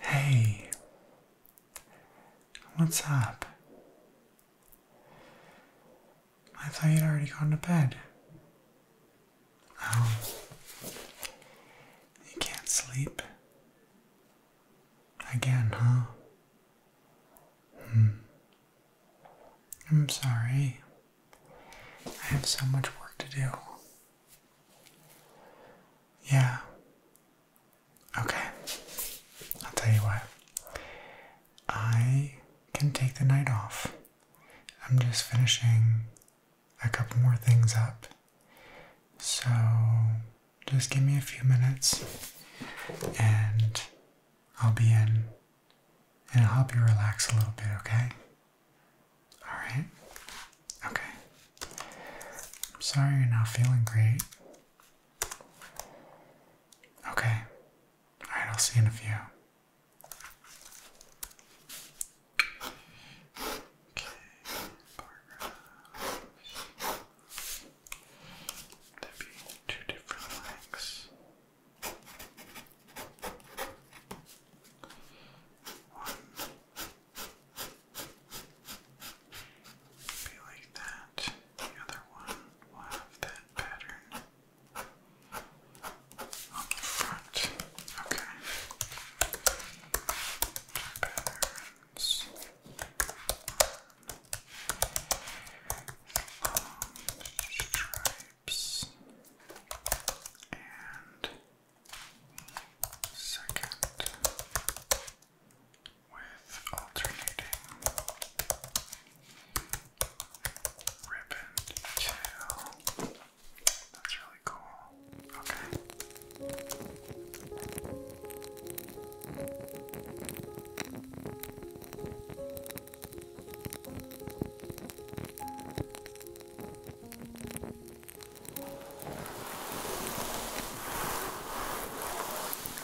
Hey, what's up? I thought you'd already gone to bed. Oh, you can't sleep again, huh? Hmm. I'm sorry. I have so much work to do. Yeah. Okay. I'll tell you what. I can take the night off. I'm just finishing a couple more things up. So just give me a few minutes and I'll be in and I'll help you relax a little bit, okay? All right. Okay. I'm sorry you're not feeling great. Okay. All right, I'll see you in a few. Okay, Barbara. be two different legs. One. Be like that. The other one will have that pattern on the front. Okay. stripes and Second, with alternating ribbon tail. That's really cool. Okay.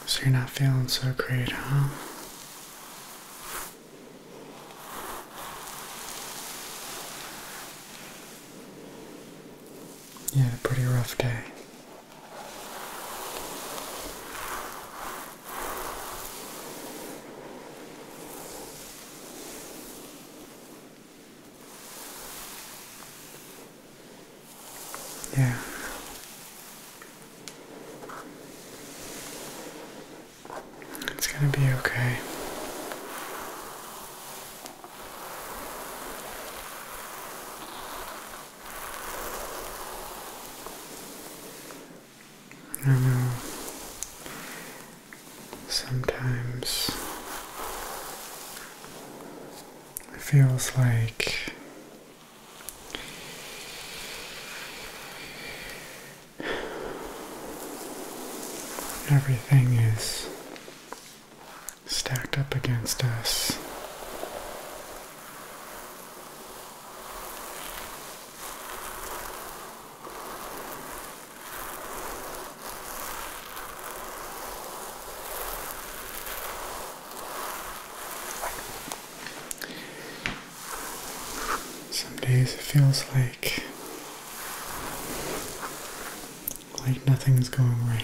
So you're not feeling so great, huh? Yeah, pretty rough day. Yeah. It's going to be okay. I know. Sometimes it feels like everything is stacked up against us. Some days it feels like like nothing's going right.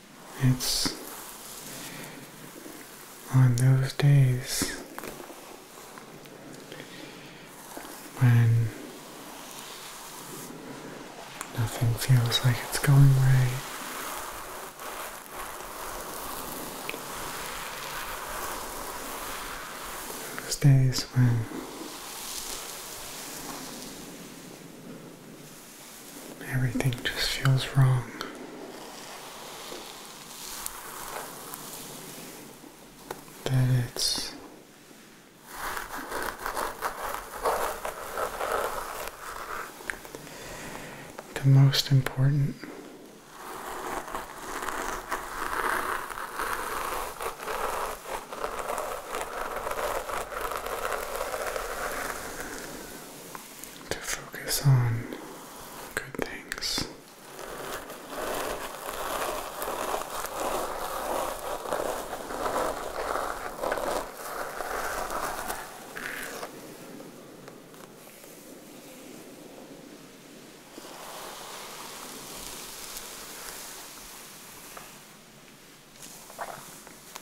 It's on those days when nothing feels like it's going right. Those days when Everything just feels wrong. That it's the most important to focus on good things.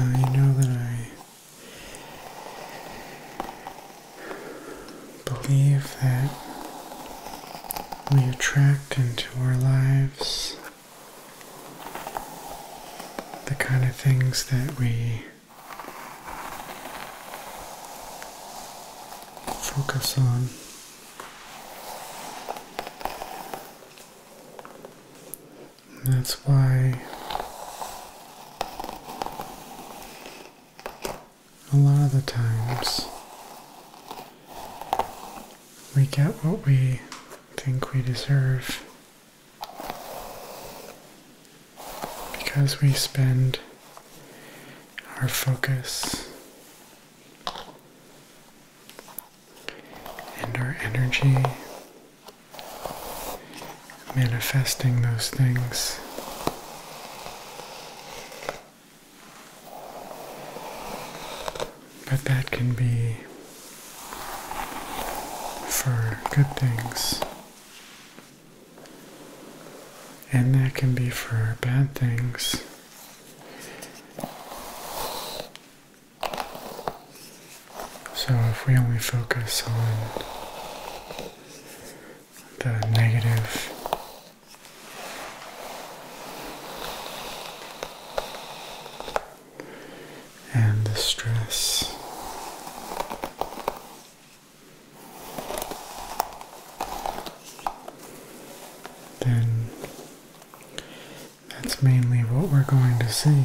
you know that I believe that we attract into our lives, the kind of things that we focus on. And that's why a lot of the times we get what we think we deserve because we spend our focus and our energy manifesting those things but that can be for good things. And that can be for bad things. So if we only focus on the negative and the stress. Then that's mainly what we're going to see.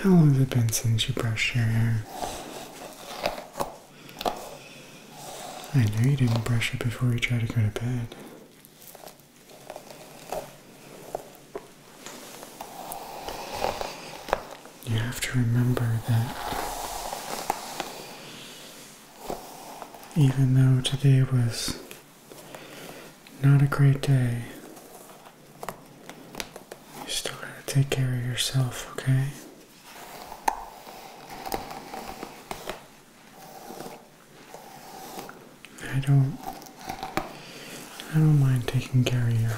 How long has it been since you brushed your hair? I know you didn't brush it before you tried to go to bed. You have to remember that even though today was not a great day, you still gotta take care of yourself, okay? I don't I don't mind taking care of you.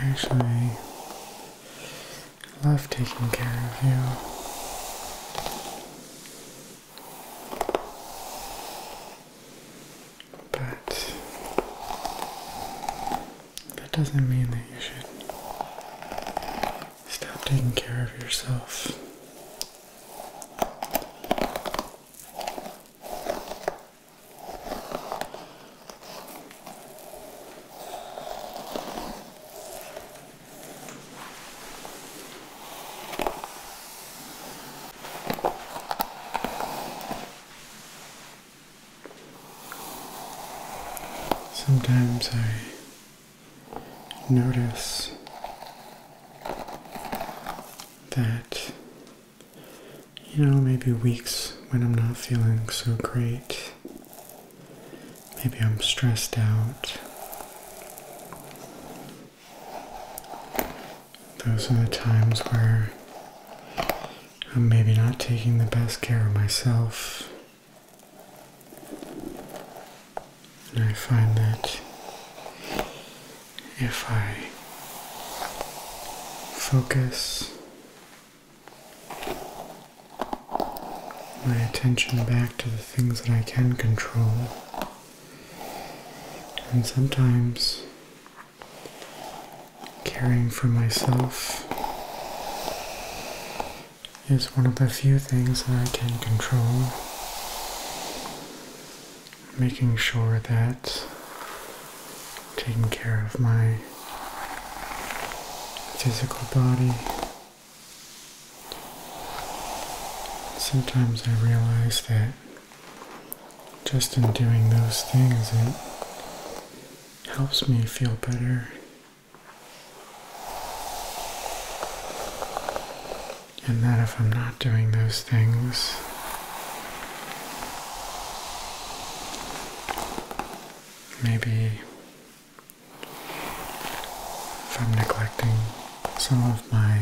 I actually love taking care of you. But that doesn't mean that you should Stop taking care of yourself. Sometimes I notice that, you know, maybe weeks when I'm not feeling so great, maybe I'm stressed out. Those are the times where I'm maybe not taking the best care of myself. And I find that if I focus my attention back to the things that I can control, and sometimes caring for myself is one of the few things that I can control. Making sure that taking care of my physical body. Sometimes I realize that just in doing those things, it helps me feel better and that if I'm not doing those things, maybe if I'm neglecting some of my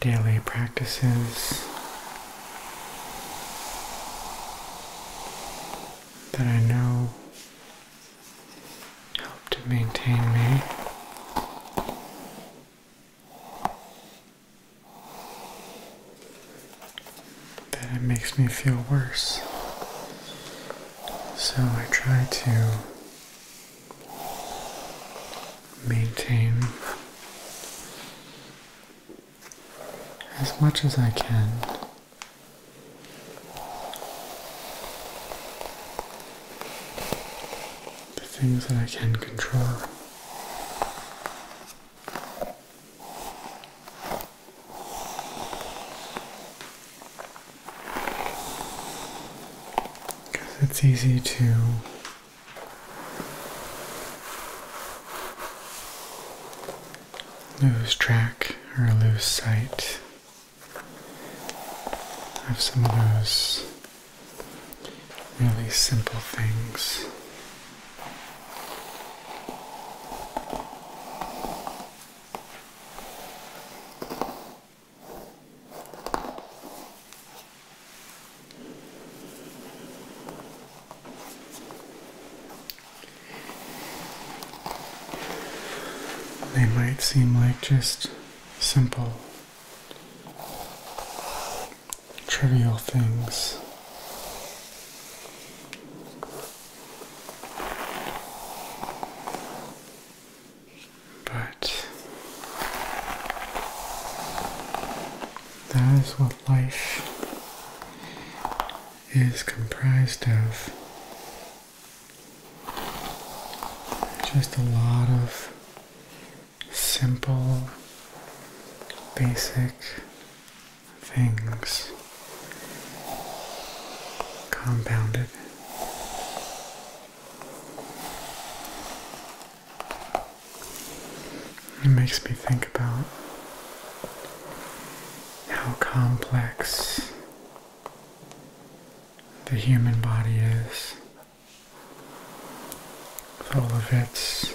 daily practices that I know help to maintain me. That it makes me feel worse. So I try to maintain as much as I can the things that I can control. Because it's easy to lose track or lose sight of some of those really simple things. They might seem like just simple, trivial things. But that is what life is comprised of just a lot of simple, basic things compounded. It makes me think about how complex the human body is with all of its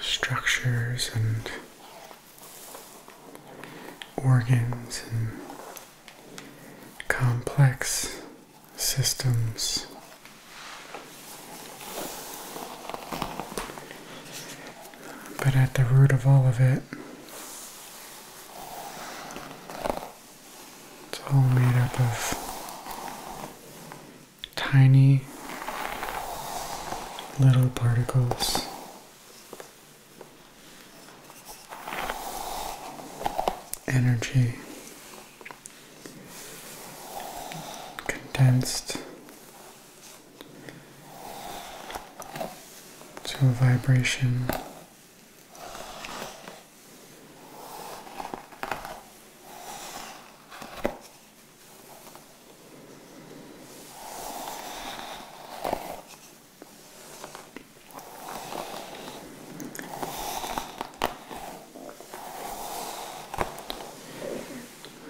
structures and organs and complex systems. But at the root of all of it, it's all made up of tiny little particles. Energy condensed to a vibration.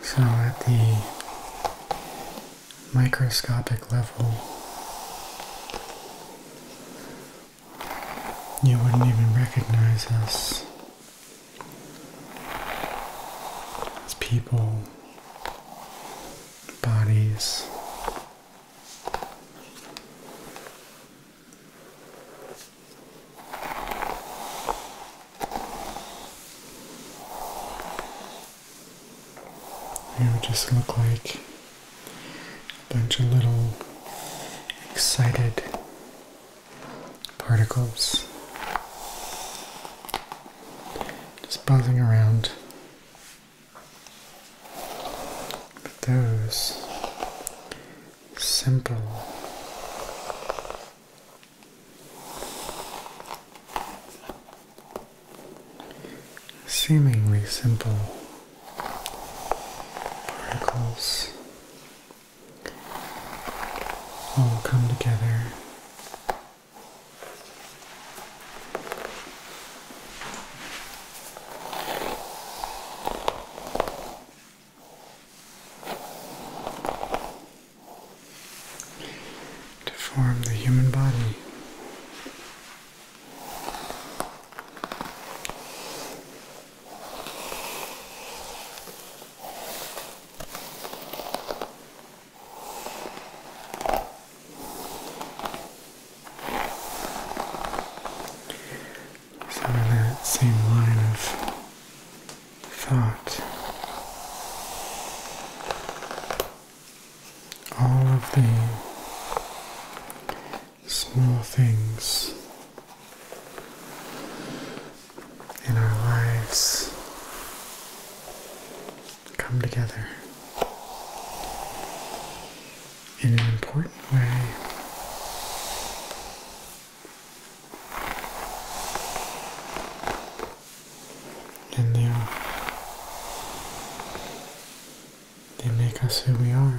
So at the microscopic level, you wouldn't even recognize us as people, bodies. You just look like a bunch of little excited particles just buzzing around. But those simple Seemingly simple particles all come together to form the human body. Some that same line of thought. All of the small things in our lives come together in an important way and they are. They make us who we are.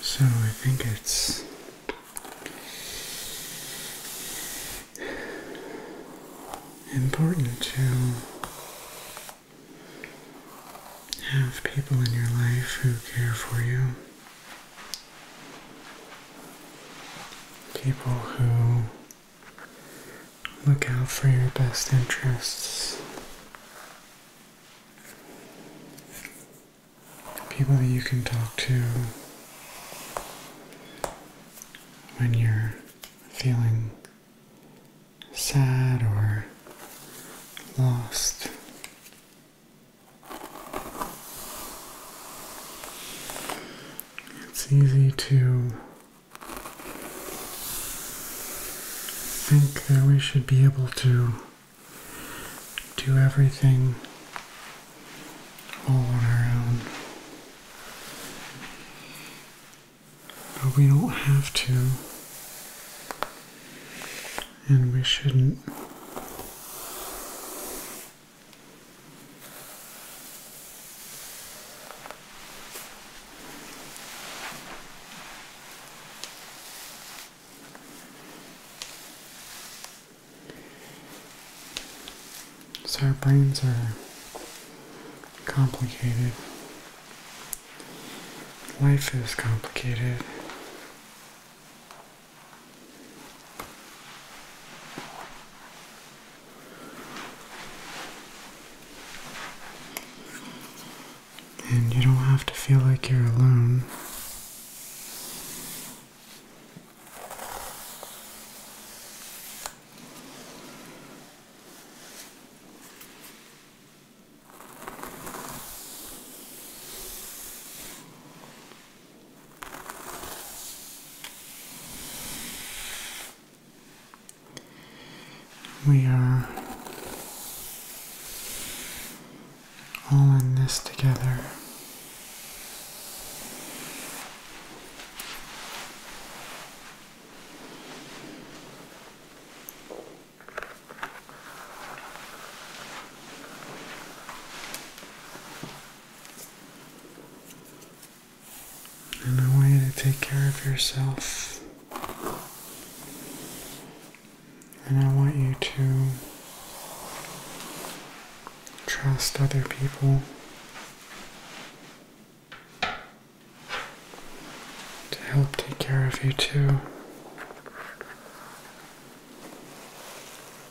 So I think it's important to have people in your life who care for you. People who Look out for your best interests. People that you can talk to when you're feeling sad or lost. It's easy to think that we should be able to do everything all on our own. But we don't have to, and we shouldn't. So our brains are complicated. Life is complicated. And you don't have to feel like you're alone. We are all in this together and I want you to take care of yourself. And I want you to trust other people to help take care of you too.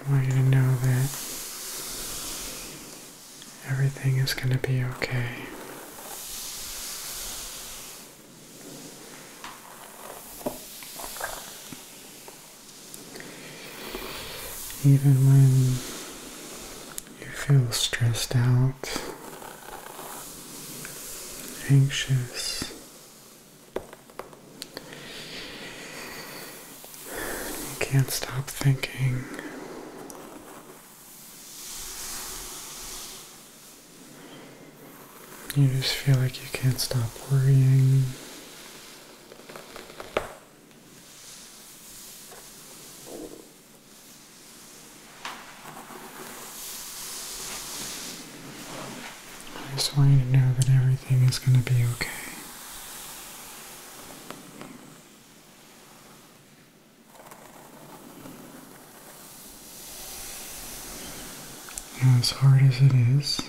I want you to know that everything is going to be okay. Even when you feel stressed out, anxious, you can't stop thinking. You just feel like you can't stop worrying. I just want you to know that everything is going to be okay. as hard as it is,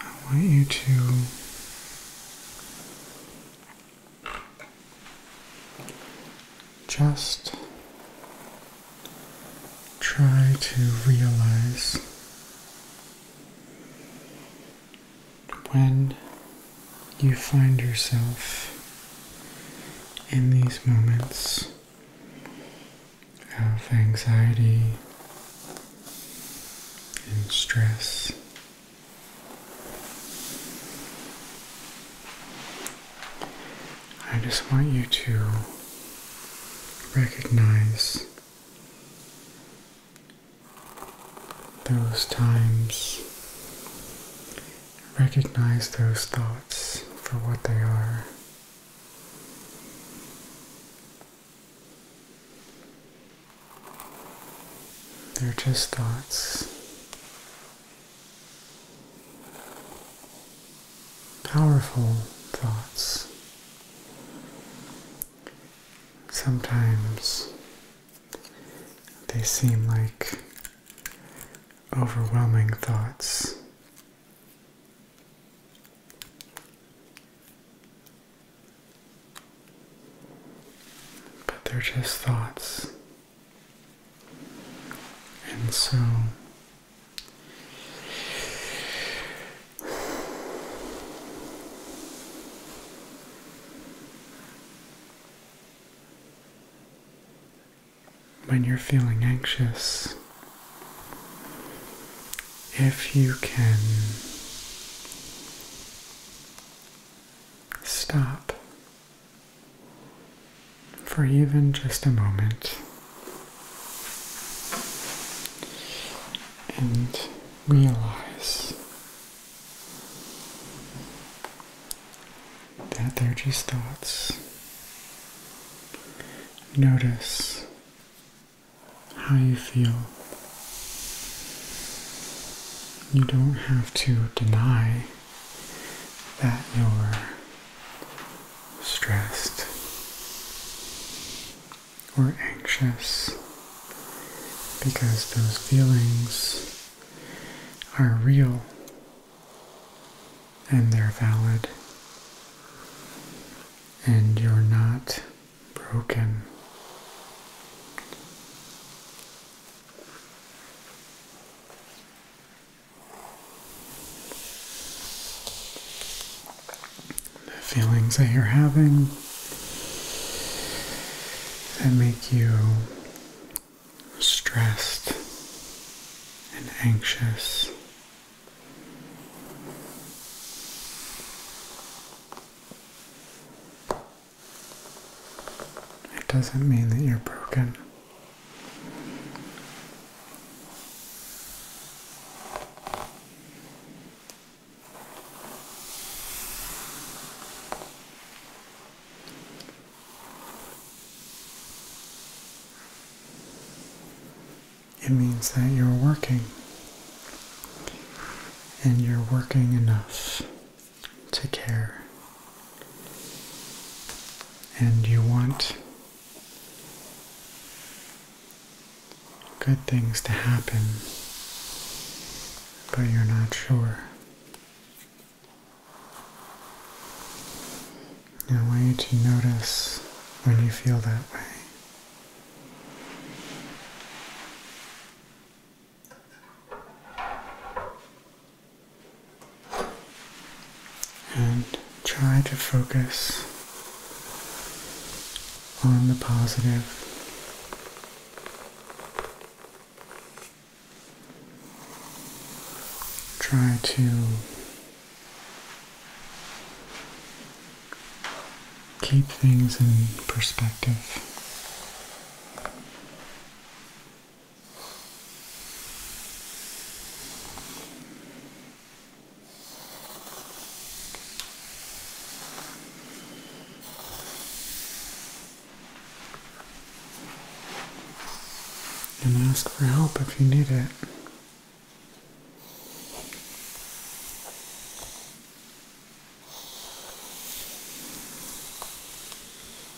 I want you to just try to realize when you find yourself in these moments of anxiety and stress. I just want you to recognize those times, recognize those thoughts for what they are. They're just thoughts powerful thoughts. Sometimes they seem like overwhelming thoughts. But they're just thoughts and so when you're feeling anxious, if you can stop for even just a moment. And realize that they're just thoughts. Notice how you feel. You don't have to deny that you're stressed or anxious because those feelings are real and they're valid and you're not broken. The feelings that you're having that make you stressed and anxious. It doesn't mean that you're broken. It means that you're working and you're working enough Take care. And you want good things to happen, but you're not sure. And I want you to notice when you feel that way. And try to focus on the positive. Try to keep things in perspective. And ask for help if you need it.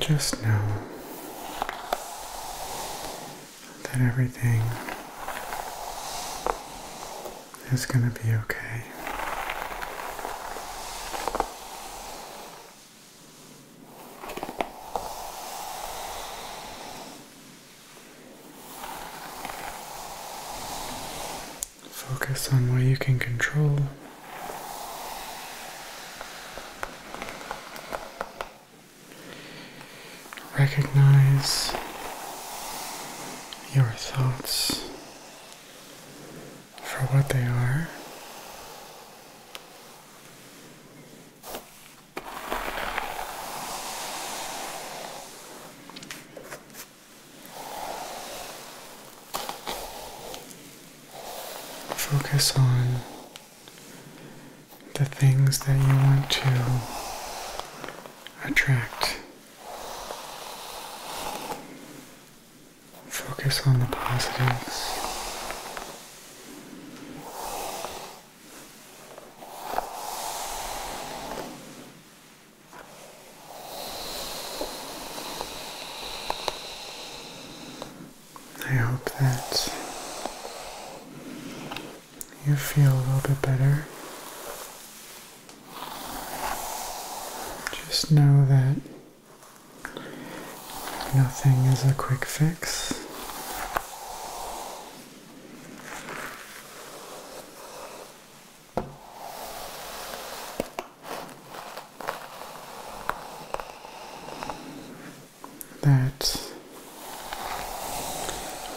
just know that everything is going to be okay. Focus on what you can control. Recognize your thoughts for what they are Focus on the things that you want to attract. Focus on the positives. I hope that you feel a little bit better. Just know that nothing is a quick fix that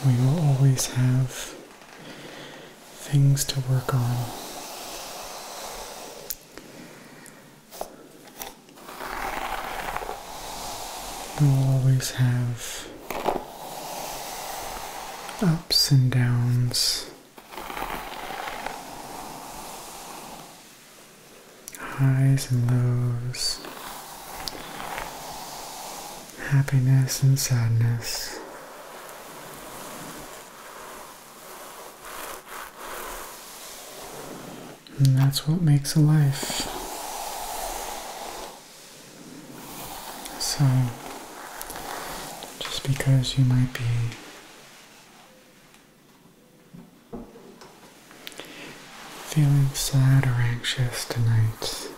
we will always have things to work on. We will always have ups and downs, highs and lows, happiness and sadness. And that's what makes a life. So, just because you might be feeling sad or anxious tonight,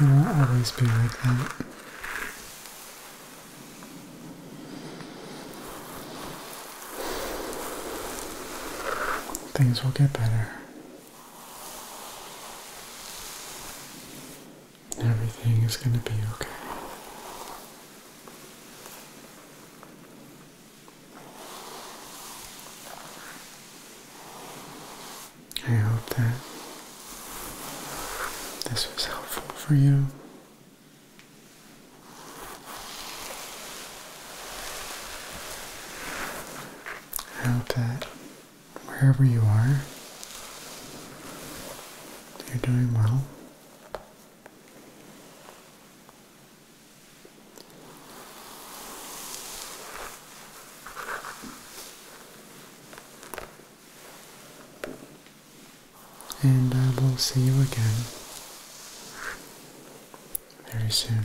you will always be like that. Things will get better. Everything is going to be okay. I hope that this was helpful for you. I hope wherever you are, you're doing well. And I will see you again very soon.